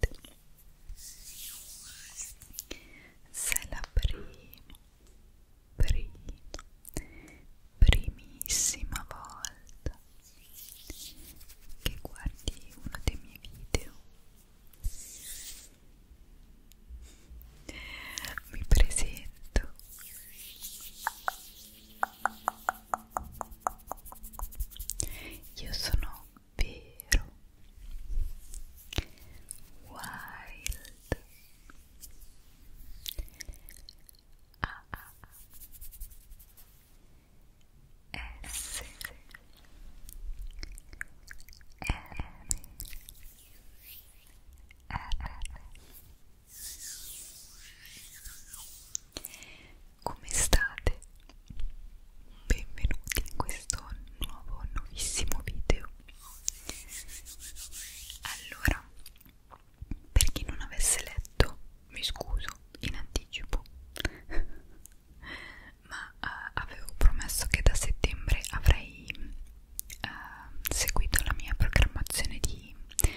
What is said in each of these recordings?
niente sei la prima prima primissima volta che guardi uno dei miei video mi presento io sono vero wild a ah, a ah, essere ah. come state benvenuti in questo nuovo nuovissimo video allora per chi non avesse letto mi scuso in anticipo ma uh, avevo promesso che da settembre avrei uh, seguito la mia programmazione di 2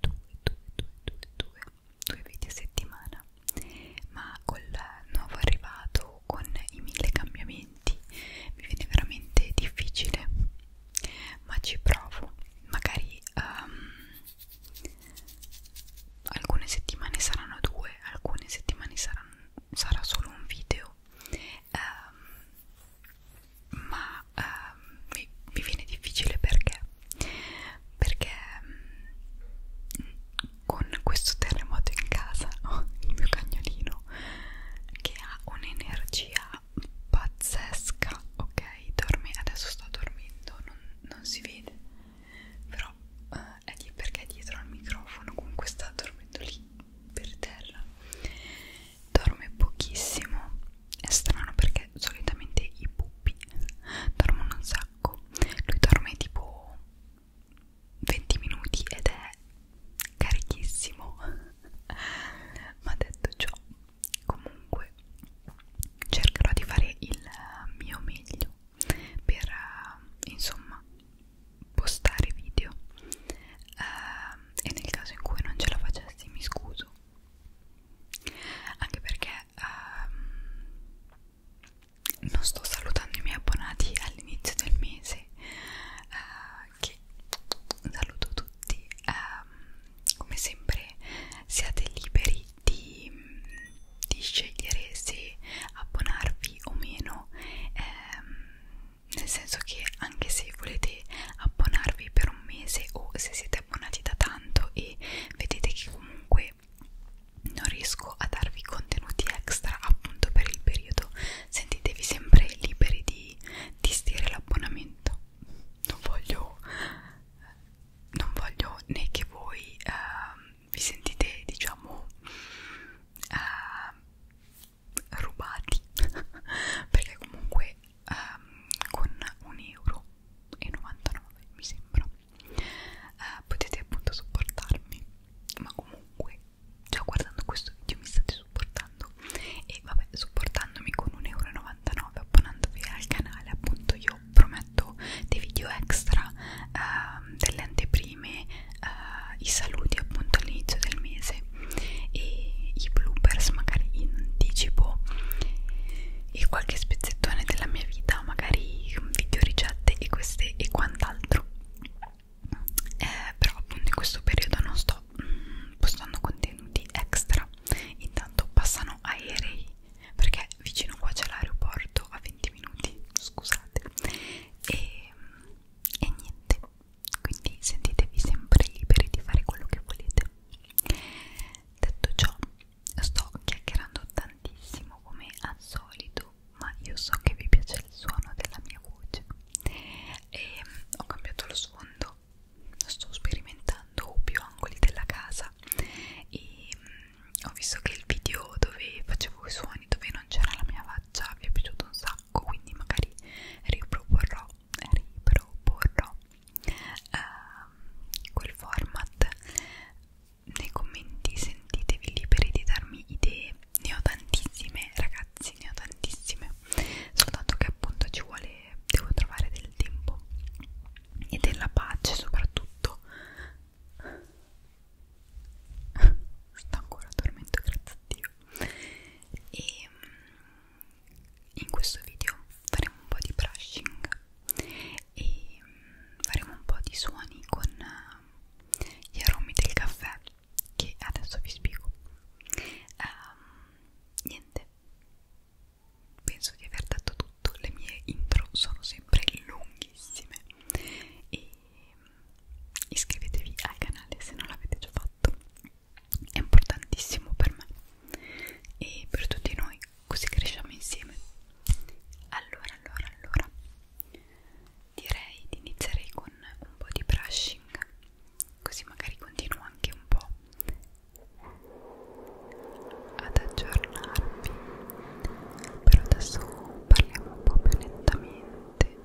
2 2 2 2 2 video a settimana ma col nuovo arrivato con i mille cambiamenti mi viene veramente difficile ma ci provo magari um, alcune settimane saranno due alcune settimane saranno, sarà solo un video um, ma um, mi, mi viene difficile perché perché um, con questo terremoto in casa ho oh, il mio cagnolino che ha un'energia pazzesca, ok? Dorme, adesso sta dormendo, non, non si vede, però eh, è di, perché è dietro al microfono, comunque sta dormendo lì per terra. Dorme pochissimo, è strano perché solitamente i pupi dormono un sacco, lui dorme tipo 20 minuti ed è carichissimo ma detto ciò comunque cercherò di fare il mio meglio per eh, insomma postare video uh, e nel caso in cui non ce la facessi mi scuso anche perché ehm, non sto salutando i miei abbonati all'inizio del mese eh, che saluto tutti ehm, come sempre siate liberi di, di scegliere se abbonarvi o meno ehm, nel senso che anche se volete abbonarvi per un mese o se siete abbonati da tanto e vedete che comunque che non riesco a darvi contenuti extra appunto per il periodo sentitevi sempre liberi di disdire l'abbonamento non voglio non voglio né che voi uh, vi sentite diciamo uh, rubati perché comunque um, con un euro e 99 mi sembra eh, potete appunto supportarmi ma comunque già guardando questo video mi state supportando e vabbè supportandomi con 1,99 euro abbonandovi al canale appunto io prometto dei video extra eh, delle anteprime eh, i saluti appunto all'inizio del mese e i bloopers magari in anticipo e qualche spezzettone della mia vita, magari video ricette e queste e quant'altro. Eh, però appunto in questo periodo non sto mm, postando contenuti extra, intanto passano aerei perché vicino qua c'è l'aeroporto a 20 minuti, scusate, e, e niente, quindi sentitevi sempre liberi di fare quello che volete. Detto ciò, sto chiacchierando tantissimo come al solito ma io so che vi piace il suono della mia voce e ehm, ho cambiato lo sfondo sto sperimentando più angoli della casa e ehm, ho visto che il video dove facevo i suoni dove non c'era la mia faccia vi è piaciuto un sacco quindi magari riproporrò riproporrò Uh, quel format nei commenti sentitevi liberi di darmi idee ne ho tantissime ragazzi ne ho tantissime soltanto che appunto ci vuole devo trovare del tempo e della pace soprattutto sto ancora dormendo grazie a Dio e mm, in questo video faremo un po' di brushing e mm, faremo un po' di suoni con eh, gli aromi del caffè che adesso vi spiego um, niente penso di aver detto tutto le mie intro sono sempre lunghissime e mm, iscrivetevi al canale se non l'avete già fatto è importantissimo per me e per tutti noi così cresciamo insieme allora allora allora direi di iniziare con un po' di brushing così magari continuo anche un po' ad aggiornarvi però adesso parliamo un po' più lentamente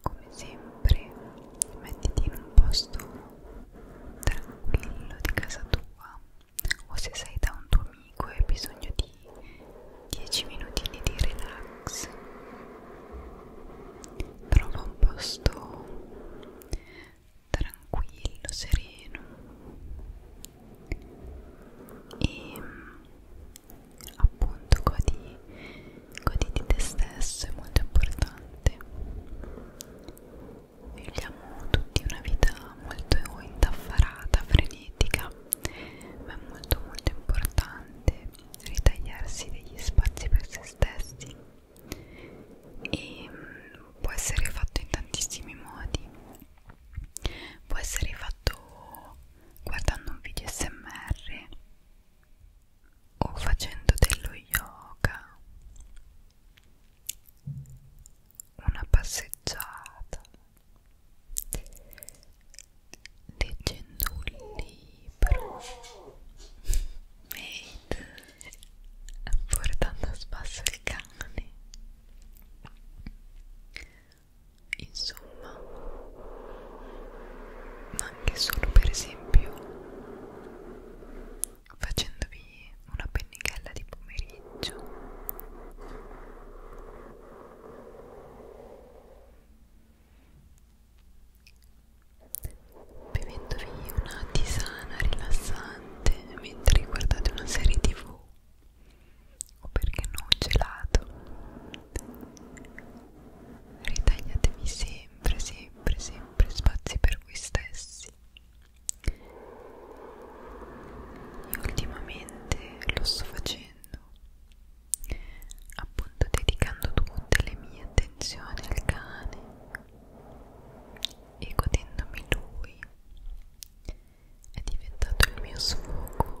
come sempre mettiti in un posto tranquillo di casa tua o se sei da un tuo amico e hai bisogno di 10 minutini di relax trova un posto tranquillo, sereno e appunto godi, godi di te stesso è molto importante viviamo tutti una vita molto indaffarata, frenetica, ma è molto molto importante ritagliarsi degli spazi per se stessi e mm, può essere fatto in tantissimi modi, può essere fatto guardando un video smr o facendo dello yoga una passeggiata leggendo un libro made portando a spasso il cane insomma ma anche solo per esempio facendovi una pennichella di pomeriggio bevendovi una tisana rilassante mentre guardate una serie tv o perché no un gelato ritagliatevi sempre sempre sempre spazi per voi stessi io ultimamente lo sto facendo appunto dedicando tutte le mie attenzioni al cane e godendomi lui è diventato il mio sfogo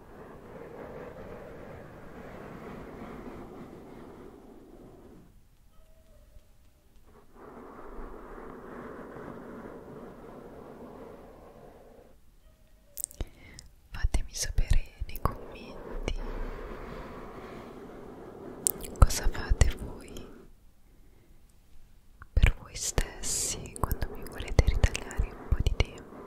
Fatemi sapere nei commenti cosa fate voi per voi stessi quando mi volete ritagliare un po' di tempo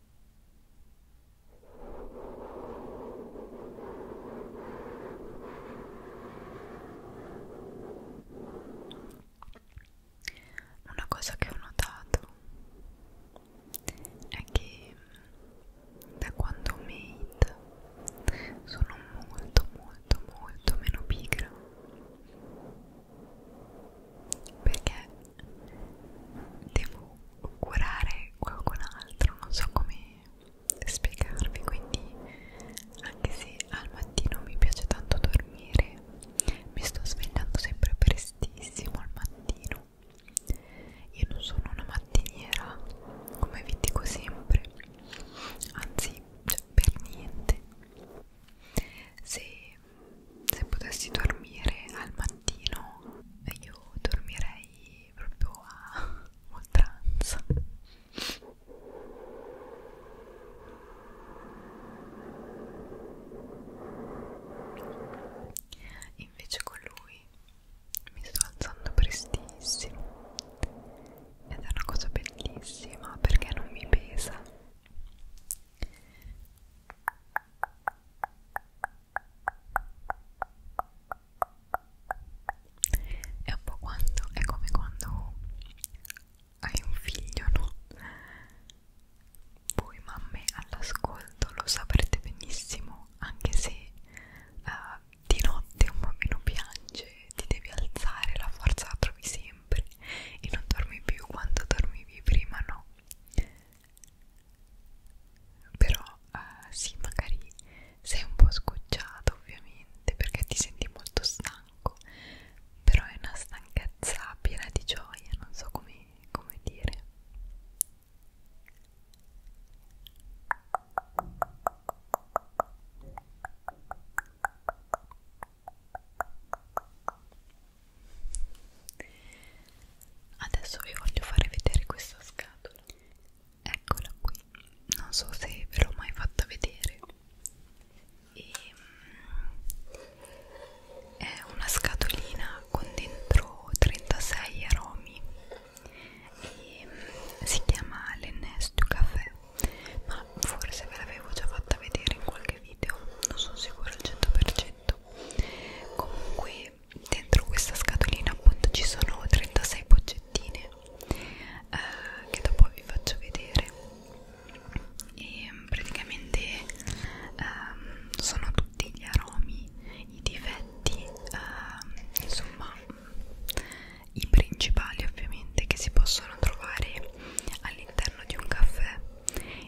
Una cosa che ho notato è che mm, da quando ho made sono molto molto molto meno pigra perché devo curare qualcun altro, non so come spiegarvi, quindi anche se al mattino mi piace tanto dormire, mi sto svegliando sempre prestissimo al mattino. Io non sono una mattiniera, come vi dico sempre, anzi, cioè, per niente. Se se potessi dormire al mattino io dormirei proprio a oltranza invece con lui mi sto alzando prestissimo ed è una cosa bellissima perché non mi pesa è un po' quando, è come quando hai un figlio, no? Voi mamme all'ascolto lo saprete benissimo, anche se uh, di notte un bambino piange, ti devi alzare, la forza la trovi sempre e non dormi più quanto dormivi prima, no? però eh, sì magari sei un po' scocciato ovviamente perché ti senti molto stanco però è una stanchezza piena di gioia non so come, come dire Adesso vi voglio fare vedere questa scatola. Eccola qui. Non so se ve l'ho mai fatta vedere. E, mm, è una scatolina con dentro 36 aromi. E, mm, si chiama l'Enestu Caffè. Ma forse ve l'avevo già fatta vedere in qualche video. Non sono sicura al 100% fatto comunque dentro questa scatolina appunto ci sono 36 boccettine eh, che dopo vi faccio vedere e praticamente ehm, sono tutti gli aromi i difetti ehm, insomma i principali ovviamente che si possono trovare all'interno di un caffè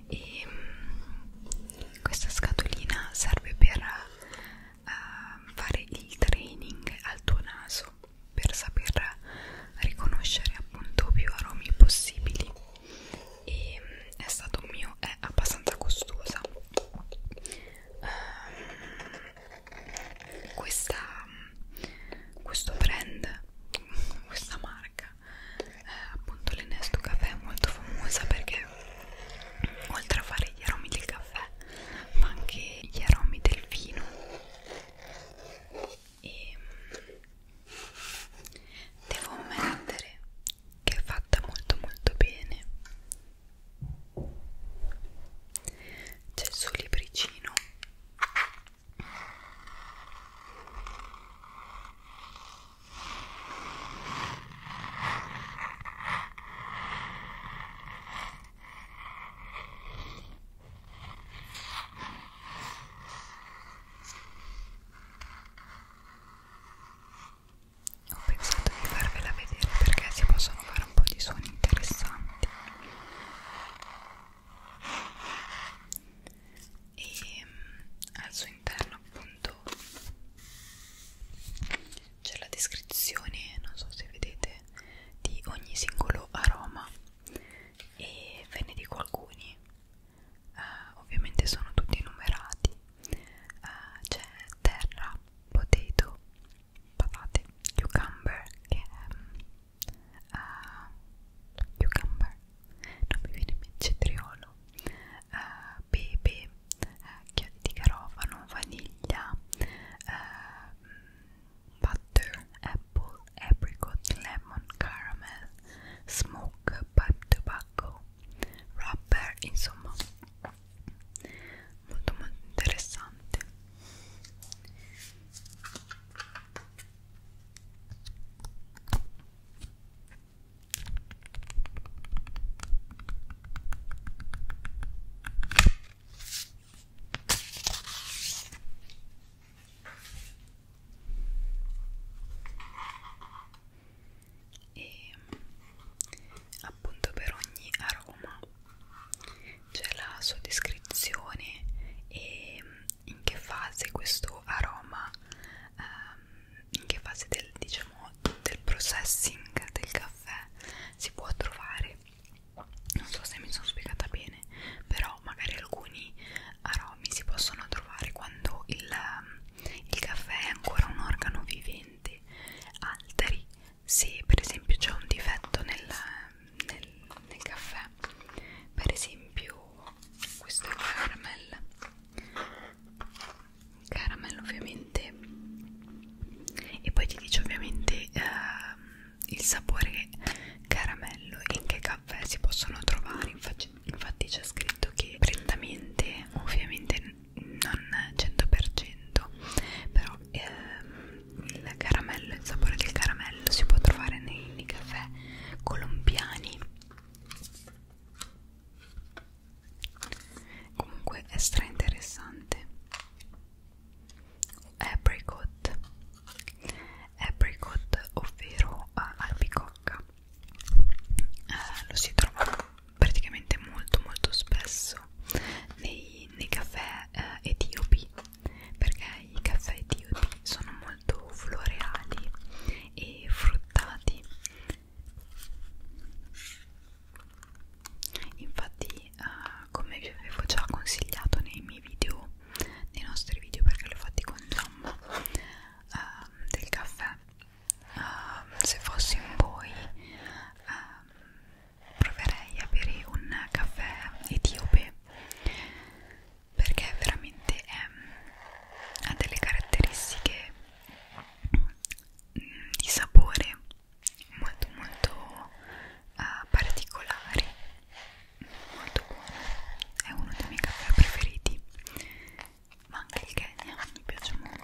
e mh, mm, questa scatolina serve per uh, fare il training al tuo naso per saper riconoscere appunto più aromi possibili e mh, mm, è stato mio è abbastanza costosa uh, questa mm, questo brand questa marca eh, appunto l'inesto caffè è molto famosa perché oltre a fare gli aromi del caffè ma anche gli aromi del vino e mm, devo ammettere che è fatta molto molto bene c'è il suo libricino ho pensato di farvela vedere perché si possono fare un po' di suoni interessanti e mm, al suo interno appunto c'è la descrizione, non so se vedete, di ogni singolo aroma e ve ne dico alcuni, uh, ovviamente sono tutti numerati, uh, c'è terra, potato, patate, cucumber che è um, mm, uh, ah, cucumber non mi viene in mente cetriolo, eh, pepe, eh, chiodi di garofano, vaniglia, eh, butter, apple, apricot, lemon, caramel, smoke, pipe tobacco, rubber, insomma molto molto interessante e appunto per ogni aroma c'è la sua descrizione e in che fase questo aroma ehm, in che fase del diciamo del processing del caffè si può trovare non so se mi sono spiegata bene però magari alcuni aromi si possono trovare quando il, ehm, il caffè è ancora un organo vivente altri se per esempio c'è un difetto nel, nel, nel caffè per esempio questo è caramel caramel ovviamente e poi ti dice ovviamente eh, il sapore caramello e in che caffè si possono trovare infatti, infatti c'è scritto che prettamente ovviamente non 100% però ehm, il caramello il sapore del caramello si può trovare nei, nei caffè colombiani comunque è stra interessante apricot apricot ovvero uh, albicocca uh, lo si trova praticamente molto molto spesso nei, nei caffè uh, etiopi perché i caffè etiopi sono molto molto floreali e fruttati infatti uh, come vi avevo già consigliato nei miei video nei nostri video perché l'ho fatti con Giamma ehm, uh, del caffè uh, se fossi in voi uh, proverei a bere un caffè etiope perché veramente è, ehm, ha delle caratteristiche mm, di sapore molto molto uh, particolari molto buono è uno dei miei caffè preferiti ma anche il Kenya mi piace molto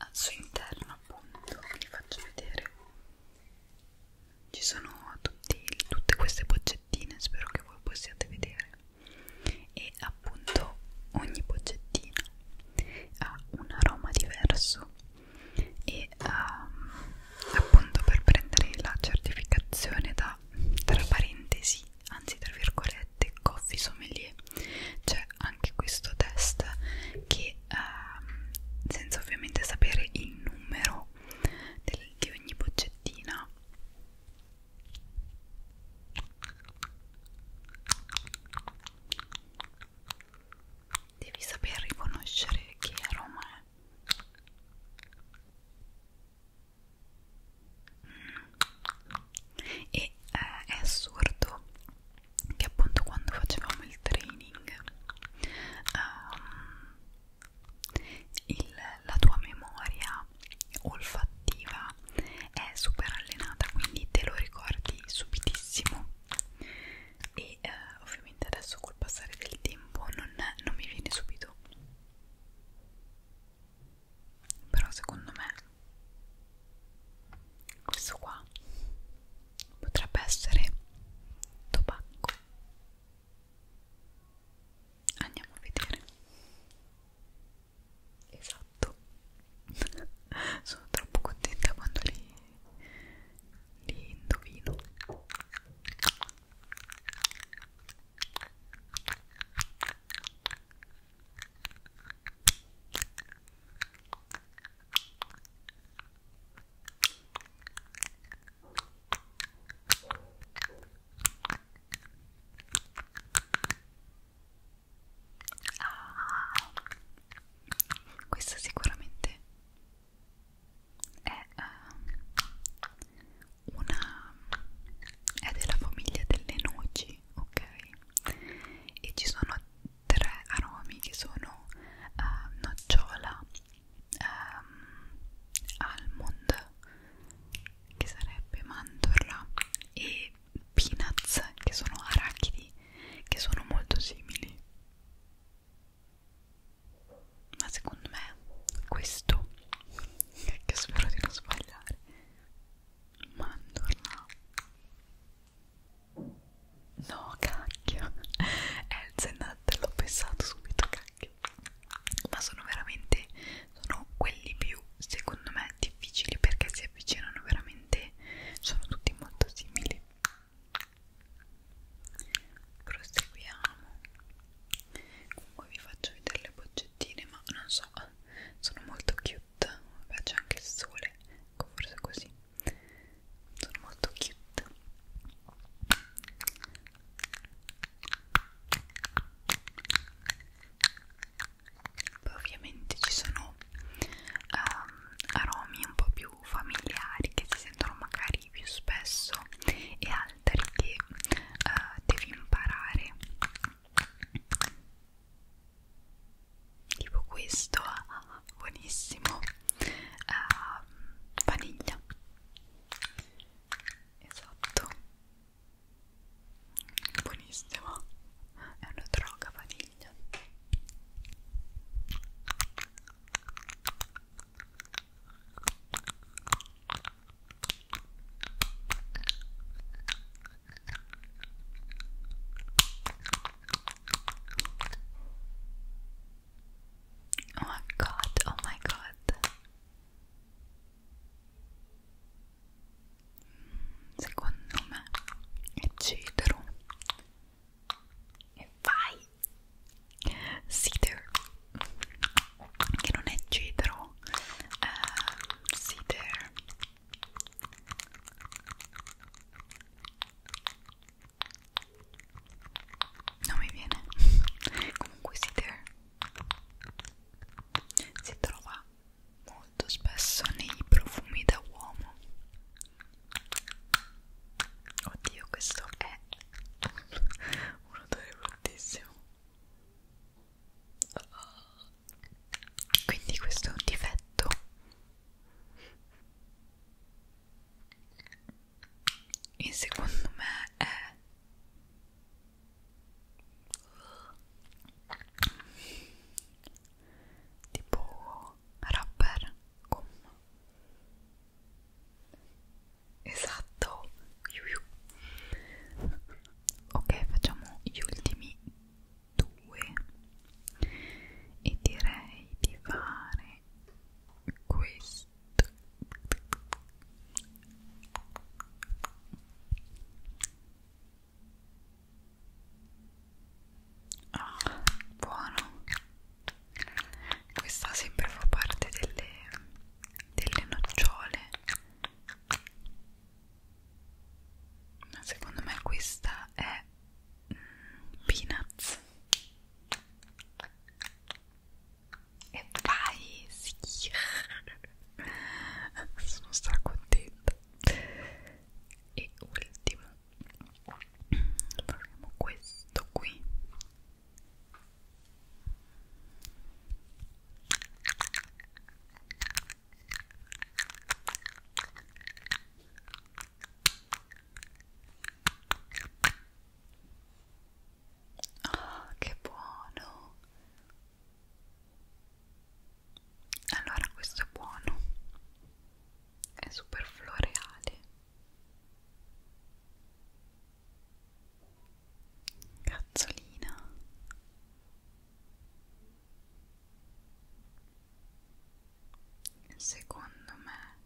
al suo interno appunto vi faccio vedere ci sono tutti, tutte queste boccettine spero che voi possiate vedere e appunto ogni boccettina ha un aroma diverso e um, appunto per prendere la certificazione da tra parentesi anzi tra virgolette coffee sommelier c'è anche questo test che ehm, senza ovviamente sapere il numero del, di ogni boccettina devi saper riconoscere che aroma è e eh, è assurdo che appunto quando facevamo il training um, il, la tua memoria olfattiva è super allenata quindi te lo ricordi subitissimo e eh, ovviamente adesso col passare del tempo non, non mi viene subito però secondo me questo qua potrebbe essere tobacco andiamo a vedere esatto sono troppo contenta quando li, li indovino Ah, questo sicuramente è uh, una è della famiglia delle noci aromi, ok? E ci sono tre aromi che sono uh, nocciola, um, almond, che sarebbe mandorla, e peanuts, che sono arachidi, che sono molto simili. Ma secondo me questo, che spero di non sbagliare, mandorla no cacchio Elzenat l'ho pensato subito cacchio ma sono veramente sono quelli più secondo me difficili perché si avvicinano veramente sono tutti molto simili proseguiamo comunque vi faccio vedere le boccettine ma non so sono molto cute vabbè c'è anche il sole ecco forse così sono molto cute poi ovviamente ci sono um, aromi un po' più familiari che si sentono magari più spesso e altri che uh, devi imparare tipo questo ah, buonissimo ah, vaniglia esatto buonissimo è una droga vaniglia Oh my god, oh my god. Secondo me è cedro. E vai! Cedar che non è cedro uh, ehm, cedar non mi viene comunque cedar si trova molto spesso nei profumi da uomo oddio questo è un odore bruttissimo quindi questo è un difetto e secondo me è tipo rapper gomma esatto Iu -iu ok facciamo gli ultimi due e direi di fare questo Ah, oh, buono. Questa sempre fa parte delle, delle nocciole ma secondo me questa è mm, peanuts e vai sì sono stracontenta e ultimo proviamo questo qui Oh, che buono! Allora questo è buono, è super floreale Cazzolina Secondo me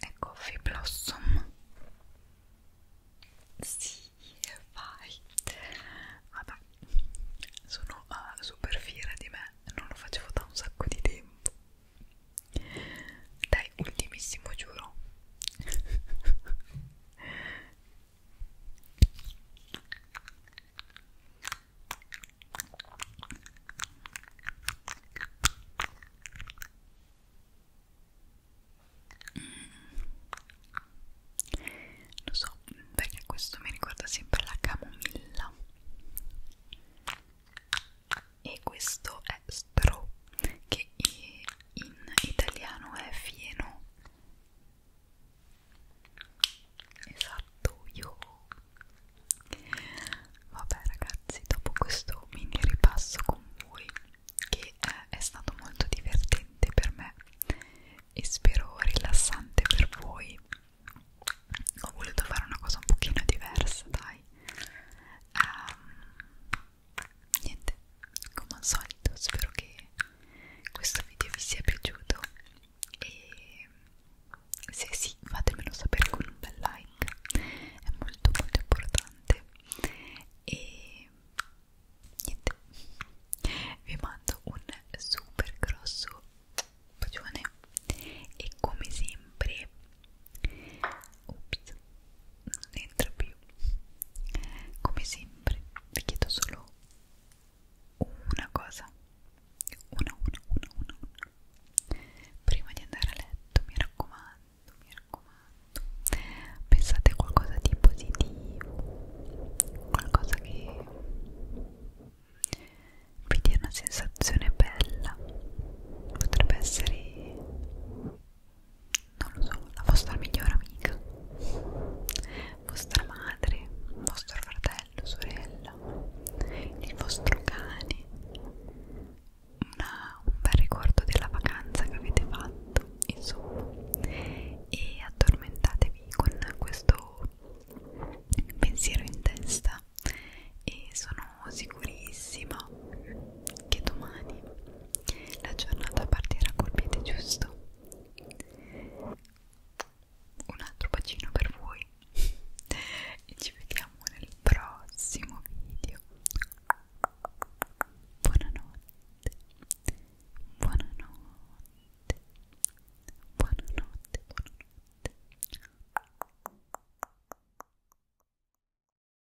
è Coffee Blossom Sì, vai Vabbè, sono uh, super fiera di me Non lo facevo da un sacco di tempo dai, ok ultimissimo giuro mm. lo so perché questo mi ricorda sempre la camomilla e questo è è stro che in italiano è fieno esatto io vabbè ragazzi dopo questo mini ripasso con voi che è, è stato molto divertente per me e spero rilassante per voi ho voluto fare una cosa un pochino diversa dai um, niente come al solito spero che questo video vi sia piaciuto e se sì fatemelo sapere con un bel like è molto molto importante e niente vi mando un super grosso bacione e come sempre ops non entra più più come sempre vi chiedo solo una cosa una una una una, una. prima di andare a letto mi raccomando mi raccomando pensate a qualcosa di positivo qualcosa che vi dia una sensazione bella potrebbe essere non lo so, la vostra migliore amica, vostra madre, vostro fratello, sorella, il vostro cane, una, un bel ricordo della vacanza che avete fatto, insomma, e addormentatevi con questo pensiero in testa e sono sicurissima che domani la giornata partirà col piede giusto un altro bacino per voi e ci vediamo nel prossimo video buonanotte buonanotte buonanotte buonanotte